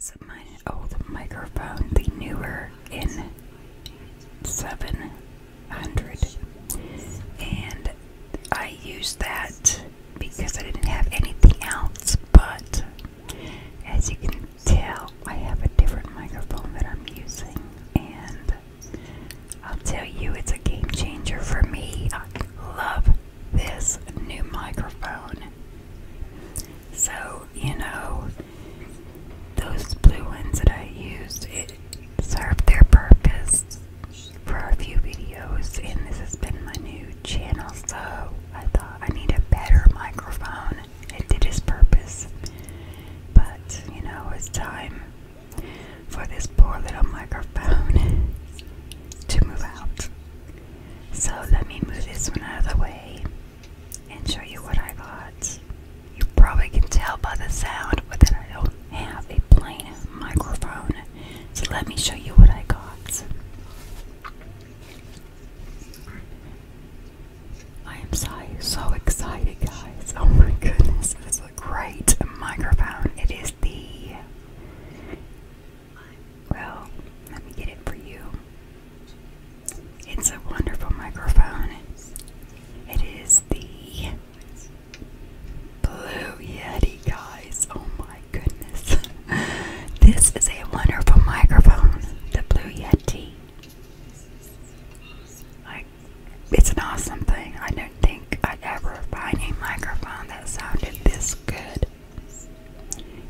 Is my old microphone the newer N7 100 and I used that because I didn't have anything else but as you can tell I have a different microphone that I'm using and I'll tell you it's a game changer for me I love this new microphone so you know those blue ones that I used it served their purpose for a few videos, and this has been my new channel, so I thought I need a better microphone. It did its purpose, but you know, it's time for this poor little microphone to move out. So let me move this one out of the way and show you what I got. You probably can tell by the sound that I don't have a plain microphone. So let me show you what I got. I am so, excited, guys. Oh my goodness, this a great microphone. It is the. Well, let me get it for you. It's a wonderful microphone. It is the Blue Yeti, guys. Oh my goodness. this is a wonderful microphone, the Blue Yeti. Like, it's an awesome thing. I don't think i ever find a microphone that sounded this good.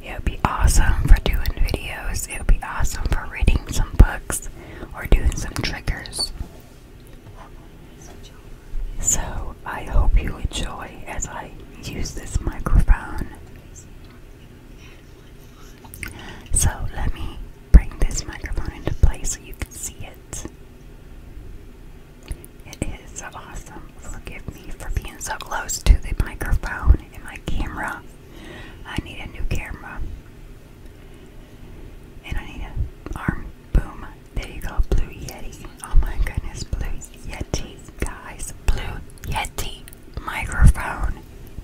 It would be awesome for doing videos, it would be awesome for reading some books or doing some triggers. So I hope you enjoy as I use this microphone. So let me bring this microphone into place so you can see it. It is so awesome. Forgive me for being so close to the microphone and my camera. I need a new camera. And I need an arm. Boom. There you go. Blue Yeti. Oh my goodness. Blue Yeti. Guys. Blue Yeti. Microphone.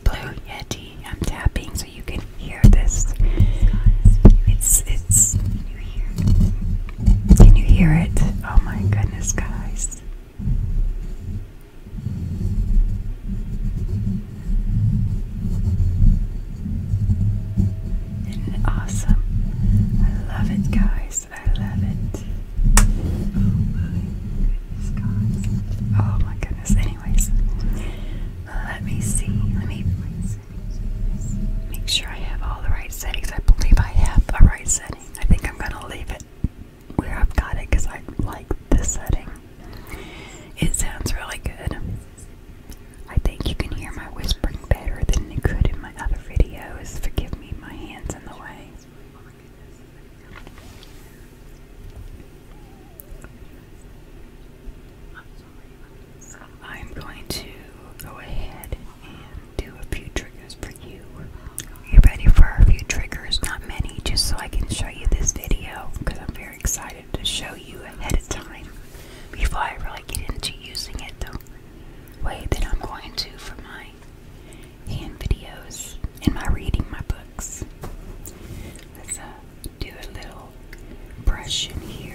Blue Yeti. I'm tapping so you can hear this. It's, it's. Can you hear it? Oh my goodness, guys. And awesome. I love it, guys. I love it. Oh my goodness, guys. Oh my goodness. Anyways, let me see. Let me make sure I have all the right settings. I believe I have a right setting. I think I'm going to leave it where I've got it because I like this setting. It sounds really good. I think you can hear my whispering better than you could in my other videos. Forgive me, my hand's in the way. I'm going to go ahead and do a few triggers for you. You ready for a few triggers? Not many, just so I can show you this video because I'm very excited to show you ahead of time before I really get into using it the way that I'm going to for my hand videos and my reading my books. Let's uh, do a little brush in here.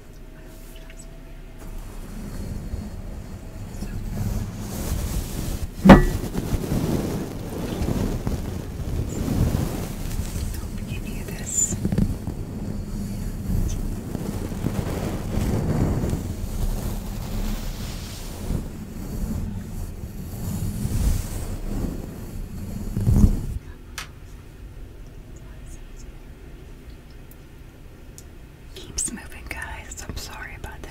I hope you can hear this. Thank Keeps moving, guys. I'm sorry about that.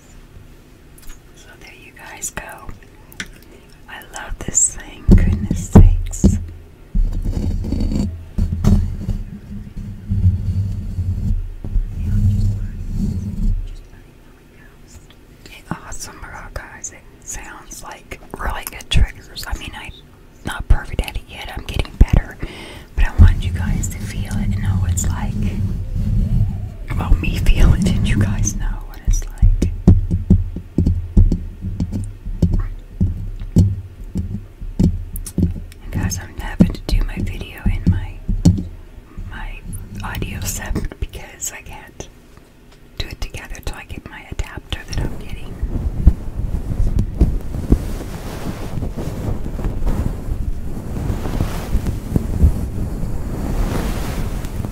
So there you guys go. I love this thing, goodness sakes. Awesome rock guys. It sounds like really good triggers. I mean, I'm not perfect at it yet. I'm getting better, but I want you guys to feel it and know what it's like. Well, me feel it, you guys know know what like. guys, I'm having to do my video in my my audio set because I can't do it together till I get my adapter that I'm getting.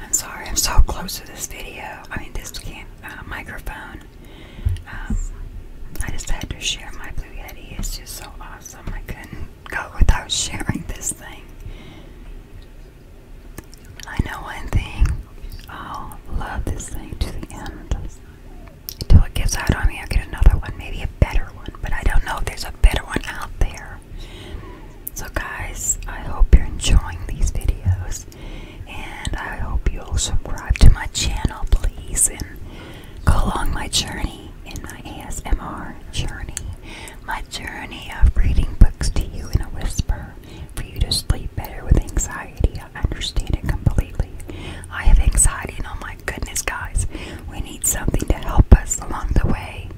I'm sorry, I'm so close to this video. I mean, this can, uh, microphone. Um, I just had to share my Blue Yeti. It's just so awesome. I couldn't go without sharing this thing. I know one thing. I'll love this thing to the end. Until it gets out on me, I'll get another one. Maybe a better one. But I don't know if there's a better one out there. So guys, I hope you're enjoying these videos and I hope you'll subscribe to my channel, please, and go along my journey in my ASMR journey, my journey of reading books to you in a whisper for you to sleep better with anxiety. I understand it completely. I have anxiety, and oh my goodness, guys, we need something to help us along the way.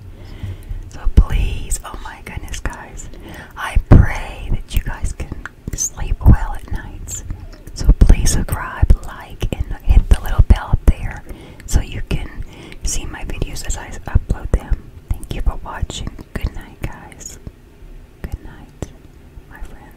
So please, oh my goodness, guys, I pray that you guys can sleep well at nights. So please subscribe, like, and hit the little bell up there so you can see my videos as I upload them. Thank you for watching. Good night, guys. Good night, my friends.